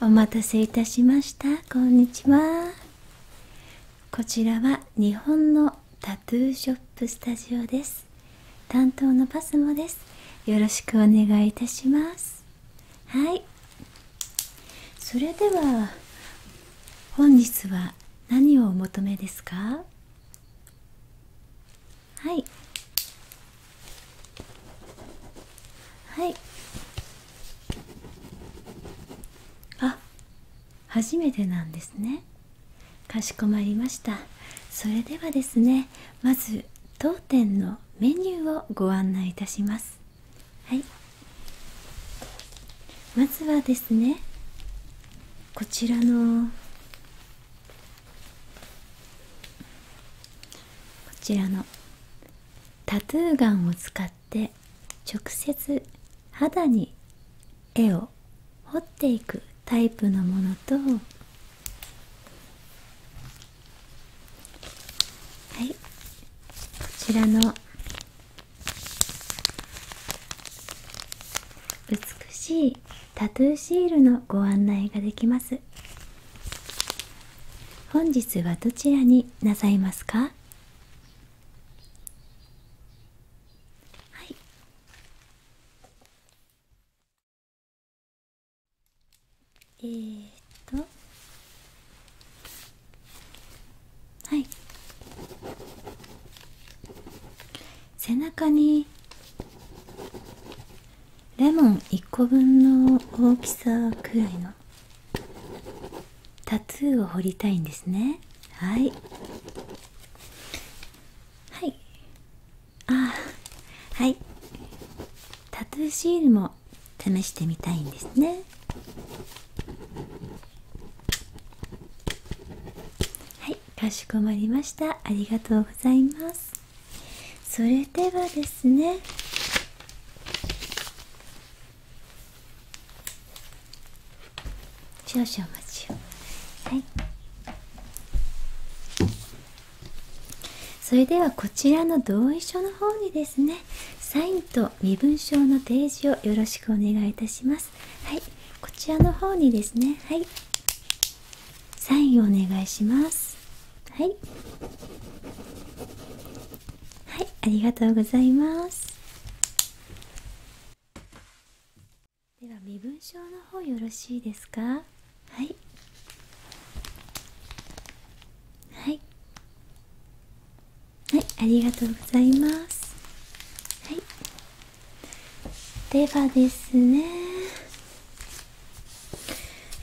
お待たせいたしましたこんにちはこちらは日本のタトゥーショップスタジオです担当のパスモですよろしくお願いいたしますはいそれでは本日は何をお求めですかはいはいあ初めてなんですねかしこまりましたそれではですねまず当店のメニューをご案内いたしますはいまずはですねこちらのこちらのタトゥーガンを使って直接肌に絵を彫っていくタイプのものとはいこちらの美しいタトゥーシールのご案内ができます本日はどちらになさいますかはいえっとはい背中にレモン1個分の大きさくらいのタトゥーを彫りたいんですねはいはいああはいタトゥーシールも試してみたいんですねはいかしこまりましたありがとうございますそれではですね少々お待ちをはいそれではこちらの同意書の方にですねサインと身分証の提示をよろしくお願いいたしますはいこちらの方にですねはいサインお願いしますはいはいありがとうございますでは身分証の方よろしいですかはいはいはいありがとうございますはいではですね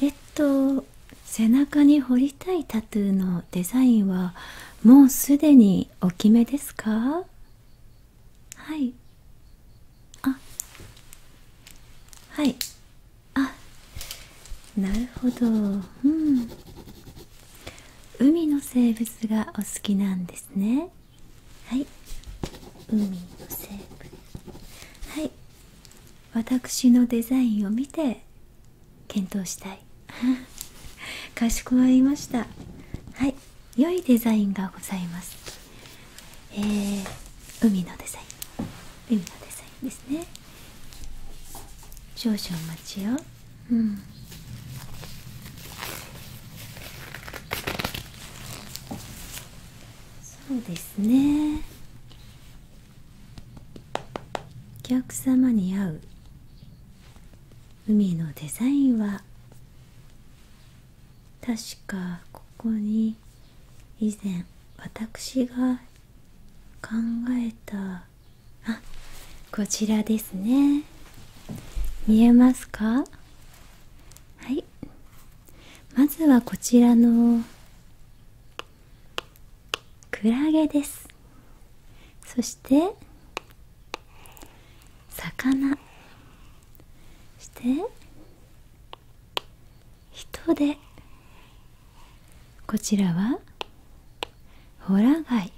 えっと背中に彫りたいタトゥーのデザインはもうすでにお決めですかはいあはいあなるほどうん海の生物がお好きなんですねはい海のセ成分はい私のデザインを見て検討したい かしこまりましたはい良いデザインがございますえ海のデザイン海のデザインですね少々お待ちようんそうですねお客様に合う海のデザインは確かここに以前私が考えたあこちらですね見えますかはいまずはこちらのクラゲですそして魚そして人でこちらはホラ貝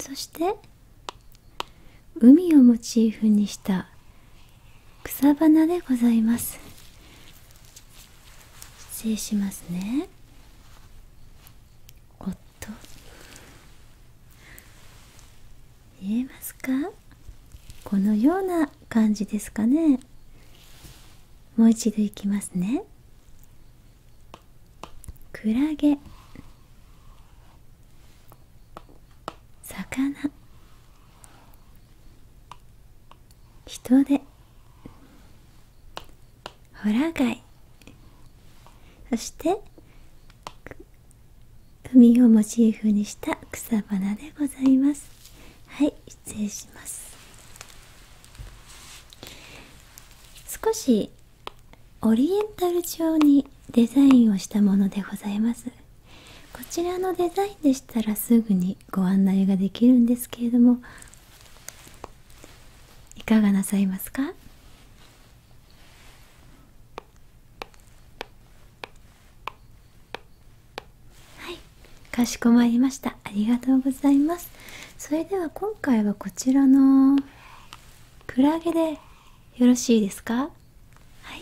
そして海をモチーフにした草花でございます失礼しますねおっと見えますかこのような感じですかねもう一度いきますねクラゲ魚人でホラ貝そして海をモチーフにした草花でございますはい失礼します少しオリエンタル調にデザインをしたものでございますこちらのデザインでしたらすぐにご案内ができるんですけれどもいかがなさいますかはいかしこまりましたありがとうございますそれでは今回はこちらのクラゲでよろしいですかはい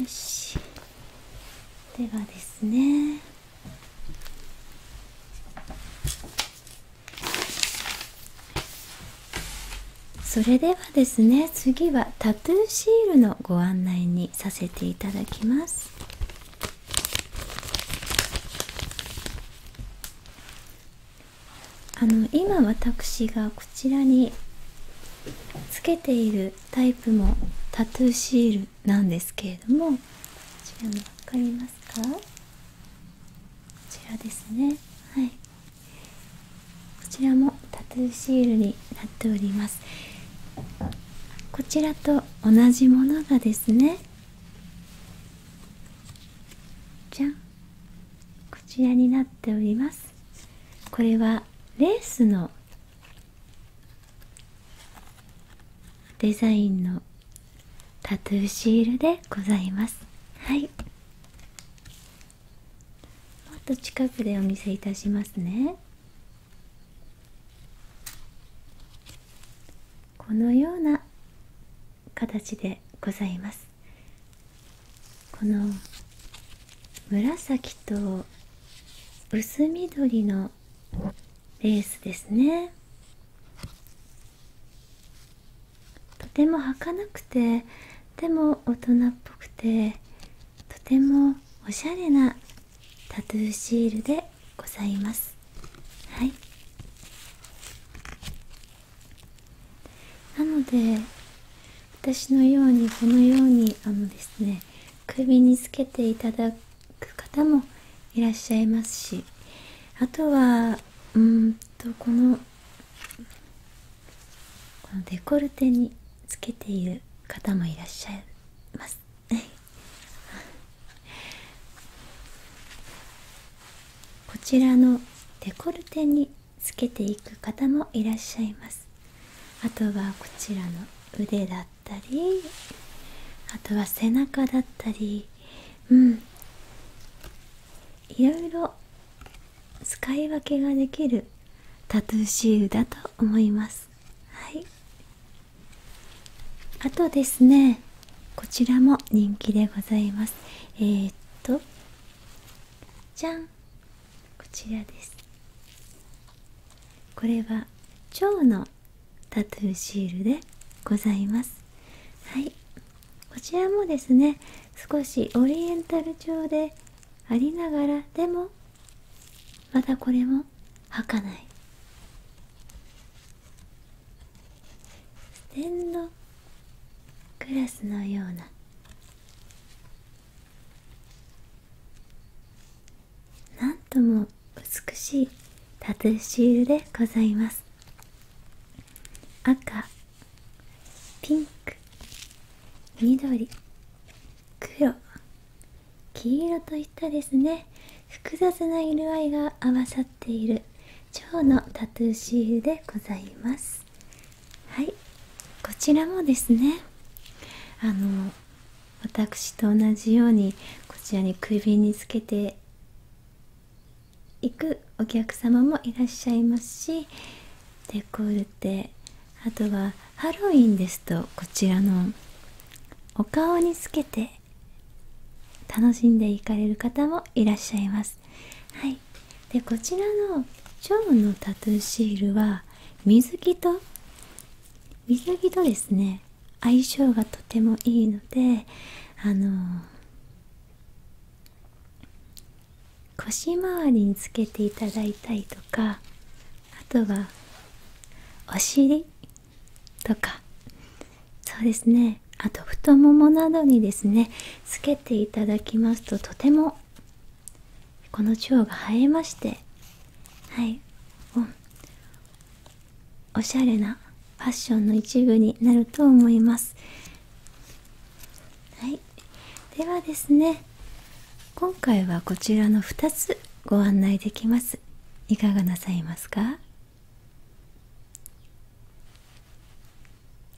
よしではですねそれではですね次はタトゥーシールのご案内にさせていただきますあの今私がこちらにつけているタイプもタトゥーシールなんですけれどもこちらも分かりますかこちらですねはいこちらもタトゥーシールになっておりますこちらと同じものがですねじゃんこちらになっておりますこれはレースのデザインのタトゥーシールでございますはいもっと近くでお見せいたしますねこのような形でございますこの紫と薄緑のレースですねとてもかなくてでも大人っぽくてとてもおしゃれなタトゥーシールでございますはいなので私のようにこのようにあのですね首につけていただく方もいらっしゃいますしあとはうんとこのこのデコルテにつけている方もいらっしゃいます こちらのデコルテにつけていく方もいらっしゃいますあとはこちらの腕だったりあとは背中だったりうんいろいろ使い分けができるタトゥーシールだと思いますはいあとですねこちらも人気でございますえっとじゃんこちらですこれは蝶のタトゥーシールでございますはいこちらもですね少しオリエンタル調でありながらでもまたこれも儚かない。クラスのようななんとも美しいタトゥーシールでございます赤ピンク緑黒黄色といったですね複雑な色合いが合わさっている蝶のタトゥーシールでございますはいこちらもですねあの私と同じようにこちらに首につけていくお客様もいらっしゃいますしデコルテあとはハロウィンですとこちらのお顔につけて楽しんでいかれる方もいらっしゃいます。はいでこちらのジのタトゥーシールは水着と水着とですね相性がとてもいいのであのー、腰回りにつけていただいたりとかあとはお尻とかそうですねあと太ももなどにですねつけていただきますととてもこの蝶が映えましてはいおおしゃれなファッションの一部になると思いますはいではですね今回はこちらの2つご案内できますいかがなさいますか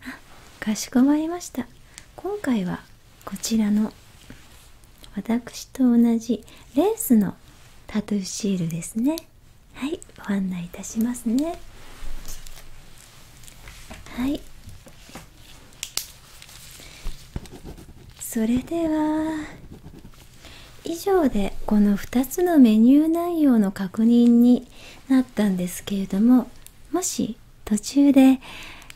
あかしこまりました今回はこちらの私と同じレースのタトゥーシールですねはいご案内いたしますねはいそれでは以上でこの2つのメニュー内容の確認になったんですけれどももし途中で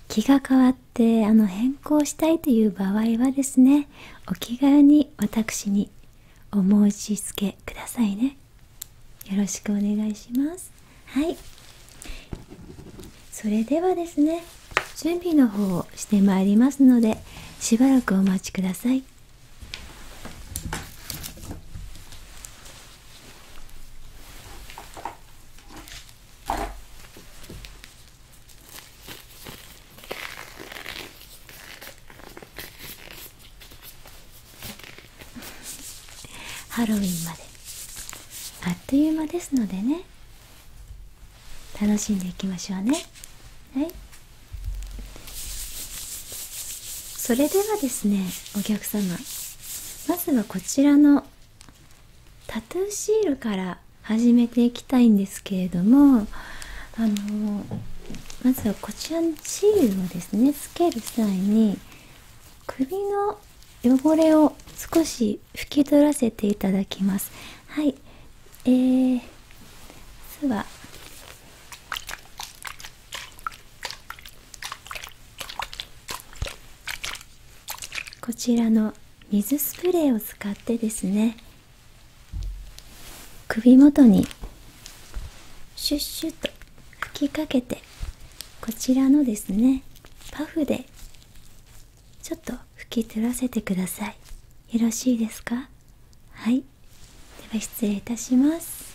気が変わってあの変更したいという場合はですねお気軽に私にお申し付けくださいねよろしくお願いしますはいそれではですね準備の方をしてまいりますのでしばらくお待ちくださいハロウィンまであっという間ですのでね楽しんでいきましょうねはいそれではですねお客様まずはこちらのタトゥーシールから始めていきたいんですけれどもあのまずはこちらのシールをですねつける際に首の汚れを少し拭き取らせていただきますはいえー、まずはこちらの水スプレーを使ってですね首元にシュッシュッと吹きかけてこちらのですねパフでちょっと拭き取らせてくださいよろしいですかはいでは失礼いたします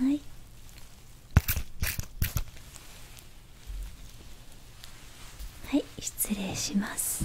はいはい失礼します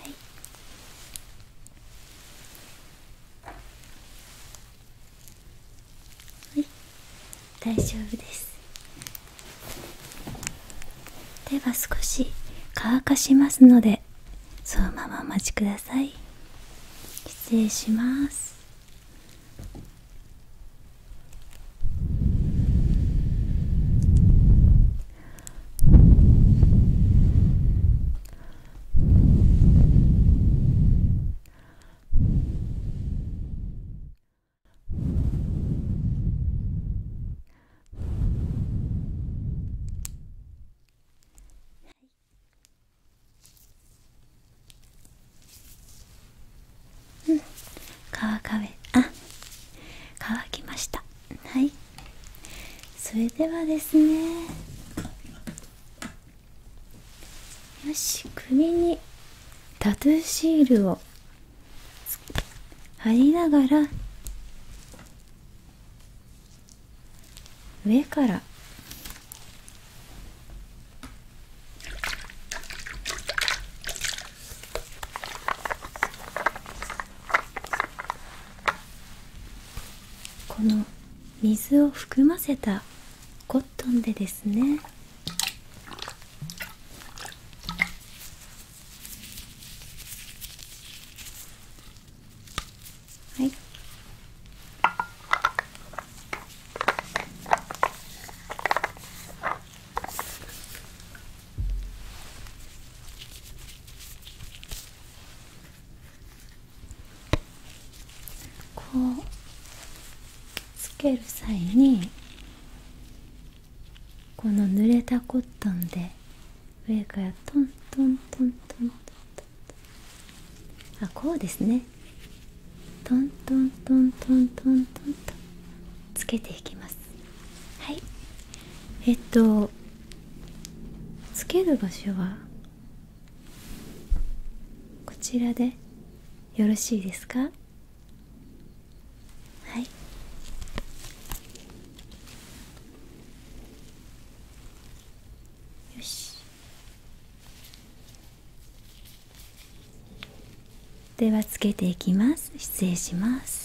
はいはい大丈夫ですでは少し乾かしますのでそのままお待ちください失礼しますうん、乾かべあ乾きましたはいそれではですねよし首にタトゥーシールを貼りながら上からこの水を含ませたコットンでですねはいこうつける際にこの濡れたコットンで上からトントントントントントンあこうですねトントントントントントンとつけていきます。はいえっとつける場所はこちらでよろしいですかはいよしではつけていきます失礼します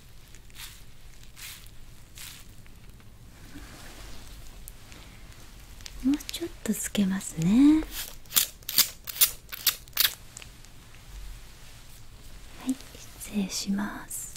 もうちょっとつけますねはい失礼します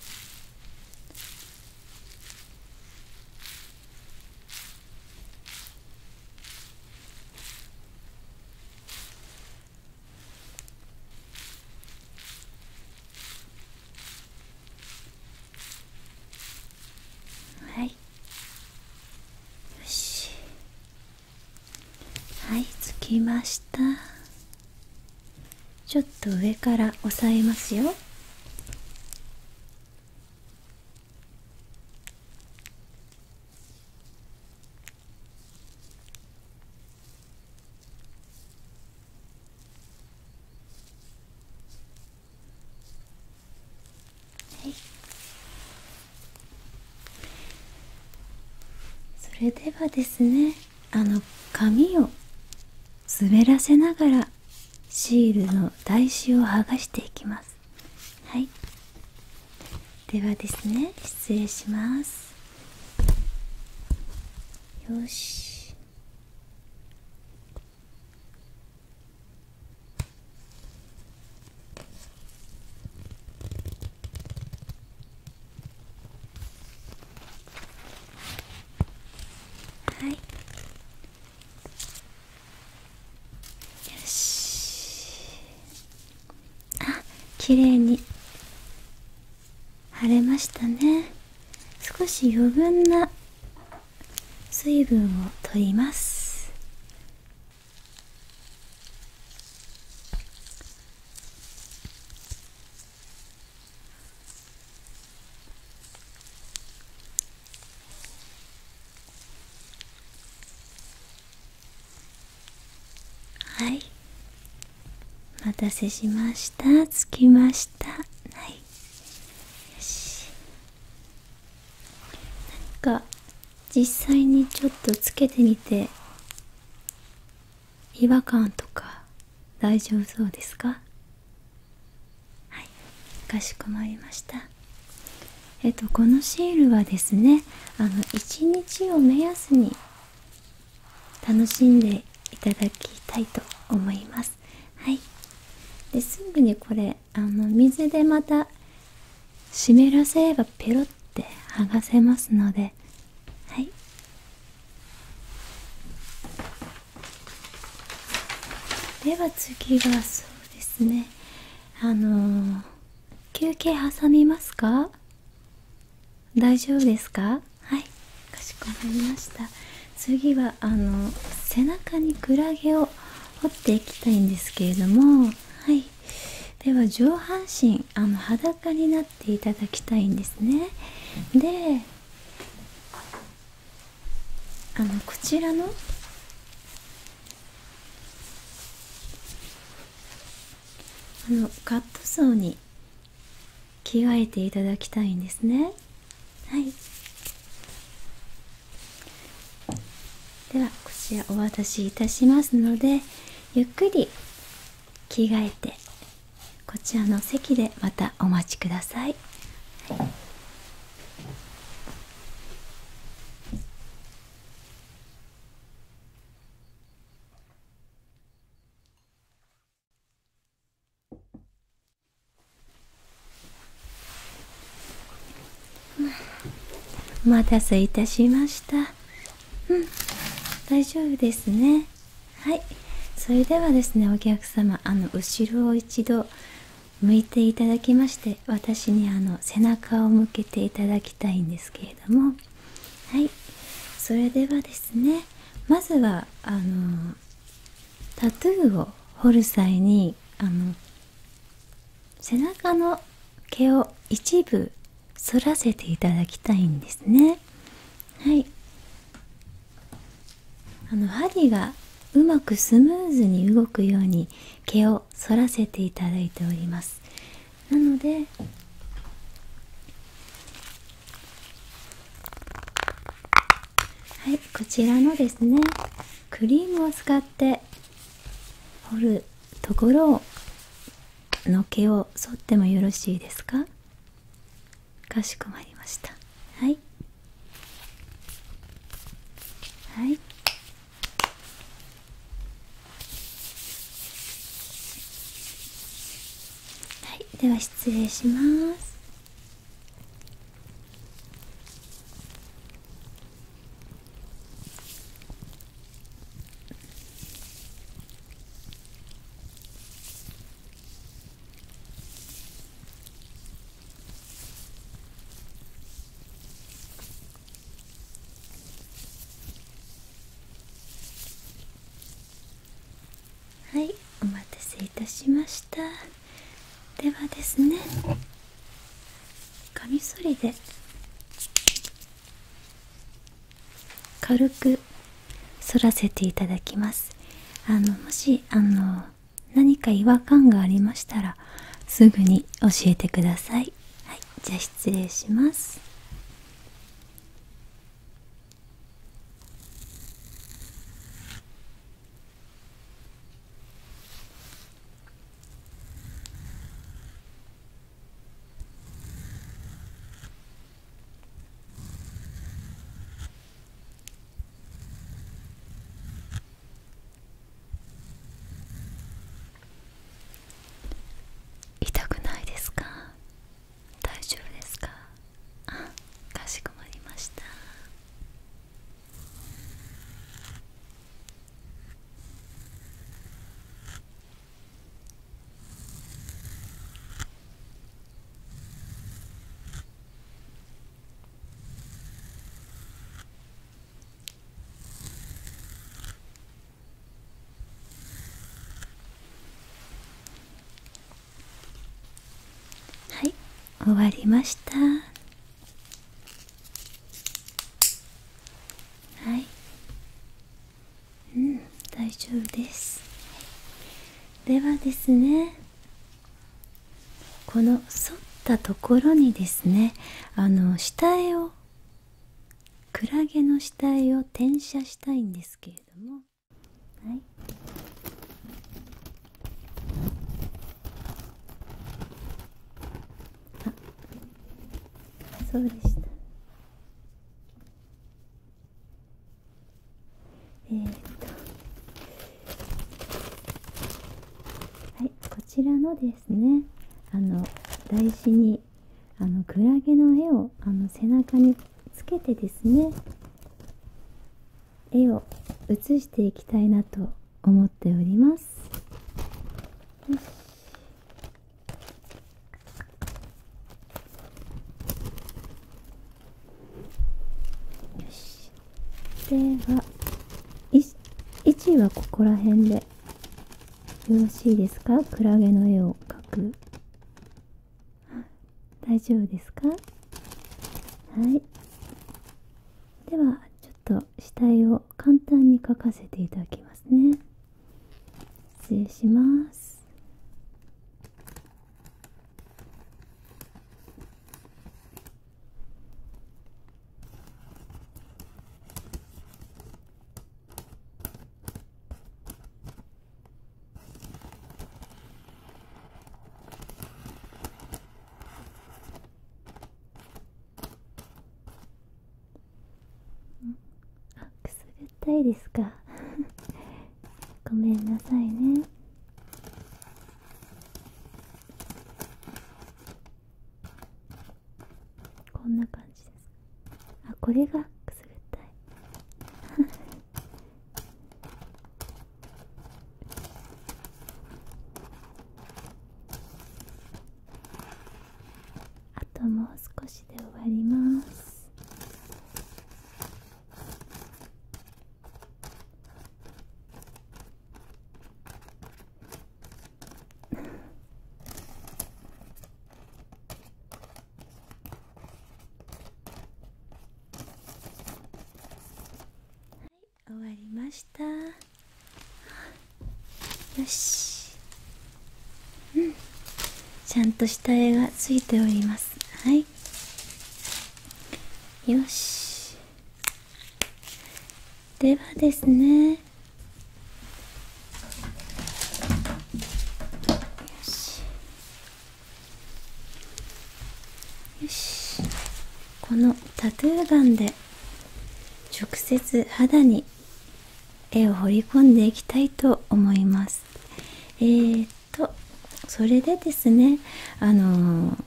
はいよしはいつきましたちょっと上から押さえますよはいそれではですねあの紙を滑らせながらシールの台紙を剥がしていきますはいではですね失礼しますよしはいよしあ綺麗に晴れましたね少し余分な水分を取りますはいお待たせしました着きましたはいよしなんか実際にちょっとつけてみて違和感とか大丈夫そうですかはいかしこまりましたえっとこのシールはですねあの1日を目安に楽しんでいただきたいと思いますはいですぐにこれあの水でまた湿らせればペロって剥がせますのではいでは次がそうですねあの休憩挟みますか大丈夫ですかはいかしこまりました次はあの背中にクラゲを彫っていきたいんですけれどもはいでは上半身あの裸になっていただきたいんですねであのこちらのあのカットソーに着替えていただきたいんですねはいではこちらお渡しいたしますのでゆっくり着替えてこちらの席でまたお待ちください、はいお待たせいたしましたうん大丈夫ですねはいそれではですねお客様あの後ろを一度向いていただきまして私にあの背中を向けていただきたいんですけれどもはいそれではですねまずはあのタトゥーを彫る際にあの背中の毛を一部反らせていただきたいんですねはいあの針がうまくスムーズに動くように毛を反らせていただいておりますなのではいこちらのですねクリームを使って掘るところをの毛を剃ってもよろしいですかかしこまりましたはいはいでは失礼しますはいお待たせいたしましたではですねカミソリで軽く反らせていただきますあのもしあの何か違和感がありましたらすぐに教えてくださいはいじゃあ失礼します痛くないですか大丈夫ですかかしこまりましたはい終わりましたはいうん大丈夫ですではですねこの反ったところにですねあの下絵をクラゲの下絵を転写したいんですけれども。はいあそうでしたえっとはいこちらのですねあの台紙にあのクラゲの絵をあの背中につけてですね絵を写していきたいなと思っておりますよしよしでは位置はここら辺でよろしいですかクラゲの絵を描く大丈夫ですかはいではちょっと死体を簡単に書かせていただきますね失礼しますあくすぐったいですか ごめんなさいねこんな感じですあこれがくすぐったいあともう少しで終わります 終わりましたよしうんちゃんと下絵がついておりますはいよしではですねよしよしこのタトゥーガで直接肌に絵を彫り込んでいきたいと思いますえっとそれでですねあの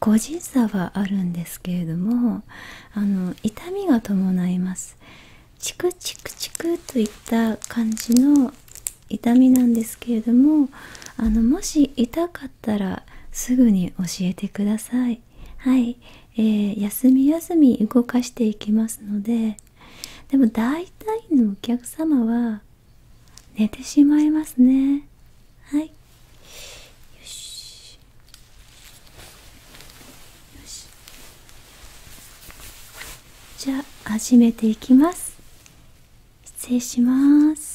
個人差はあるんですけれどもあの痛みが伴いますチクチクチクといった感じの痛みなんですけれどもあのもし痛かったらすぐに教えてくださいはい、えー、休み休み動かしていきますのででも大体のお客様は寝てしまいますねはいよしよしじゃあ始めていきます失礼します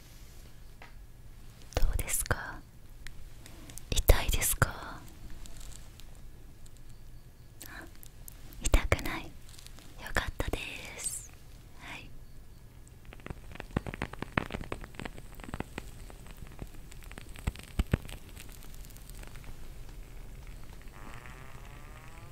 どうですか痛いですかあ痛くないよかったですはい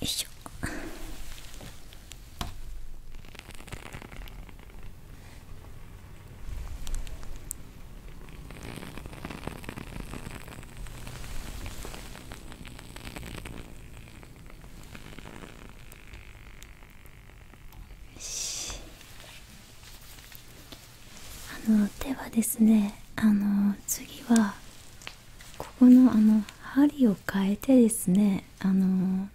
よいしょよあのではですねあの次はここのあの針を変えてですねあの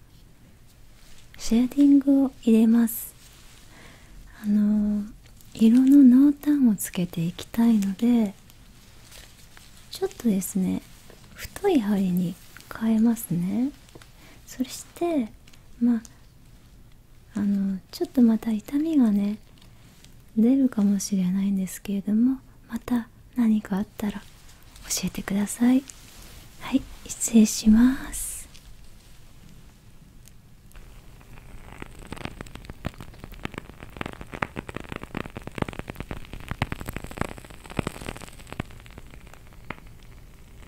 シェーデングを入れますあの色の濃淡をつけていきたいのでちょっとですね太い針に変えますねそしてまああのちょっとまた痛みがね出るかもしれないんですけれどもまた何かあったら教えてくださいはい失礼します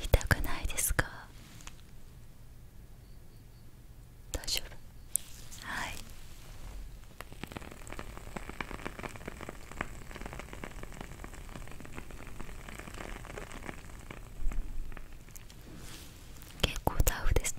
痛くないですか大丈夫はい結構タフですね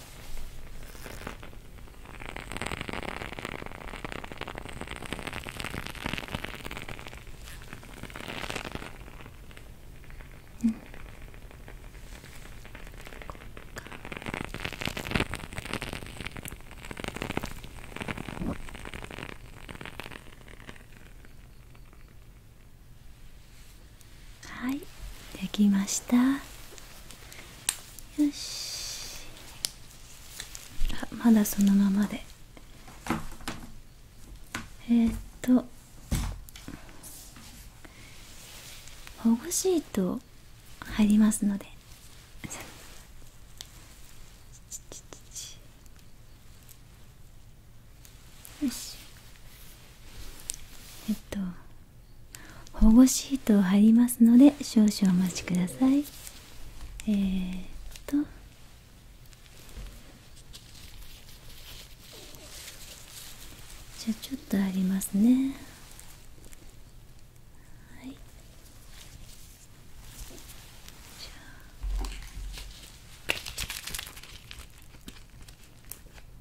うんはいできましたよしあまだそのままでえっとほぐしー入りますのでよしえっと保護シートを貼りますので少々お待ちくださいえっとじゃあちょっとありますねはいじゃあ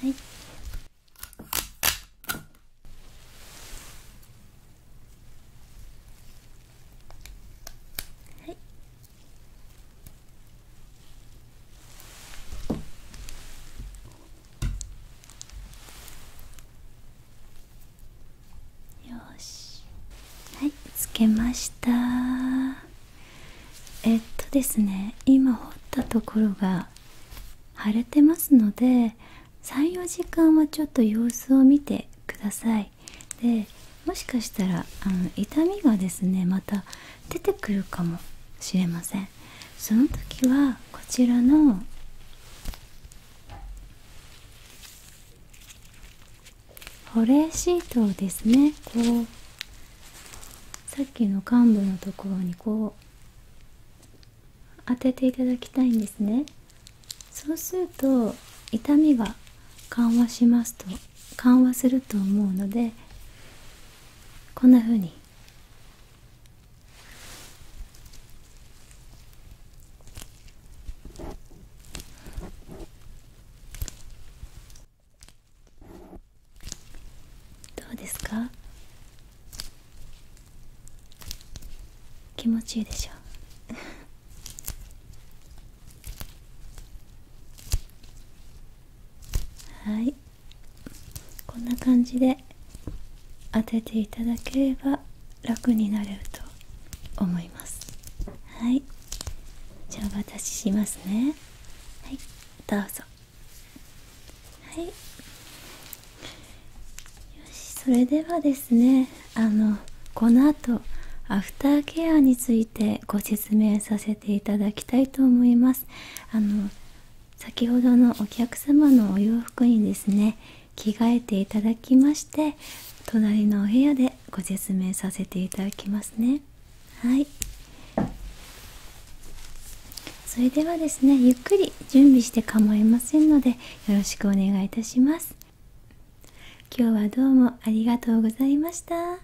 はいはいよしはいつけましたえっとですね今掘ったところが腫れてますので34時間はちょっと様子を見てくださいでもしかしたらあの痛みがですねまた出てくるかもしれませんその時はこちらの保冷シートをですねこうさっきの患部のところにこう当てていただきたいんですねそうすると痛みが緩和しますと緩和すると思うのでこんなふうにどうですか気持ちいいでしょう。はいこんな感じで当てていただければ楽になれると思いますはいじゃあお私しますねはいどうぞはいよしそれではですねあのこの後アフターケアについてご説明させていただきたいと思いますあの先ほどのお客様のお洋服にですね着替えていただきまして隣のお部屋でご説明させていただきますねはいそれではですねゆっくり準備して構いませんのでよろしくお願いいたします今日はどうもありがとうございました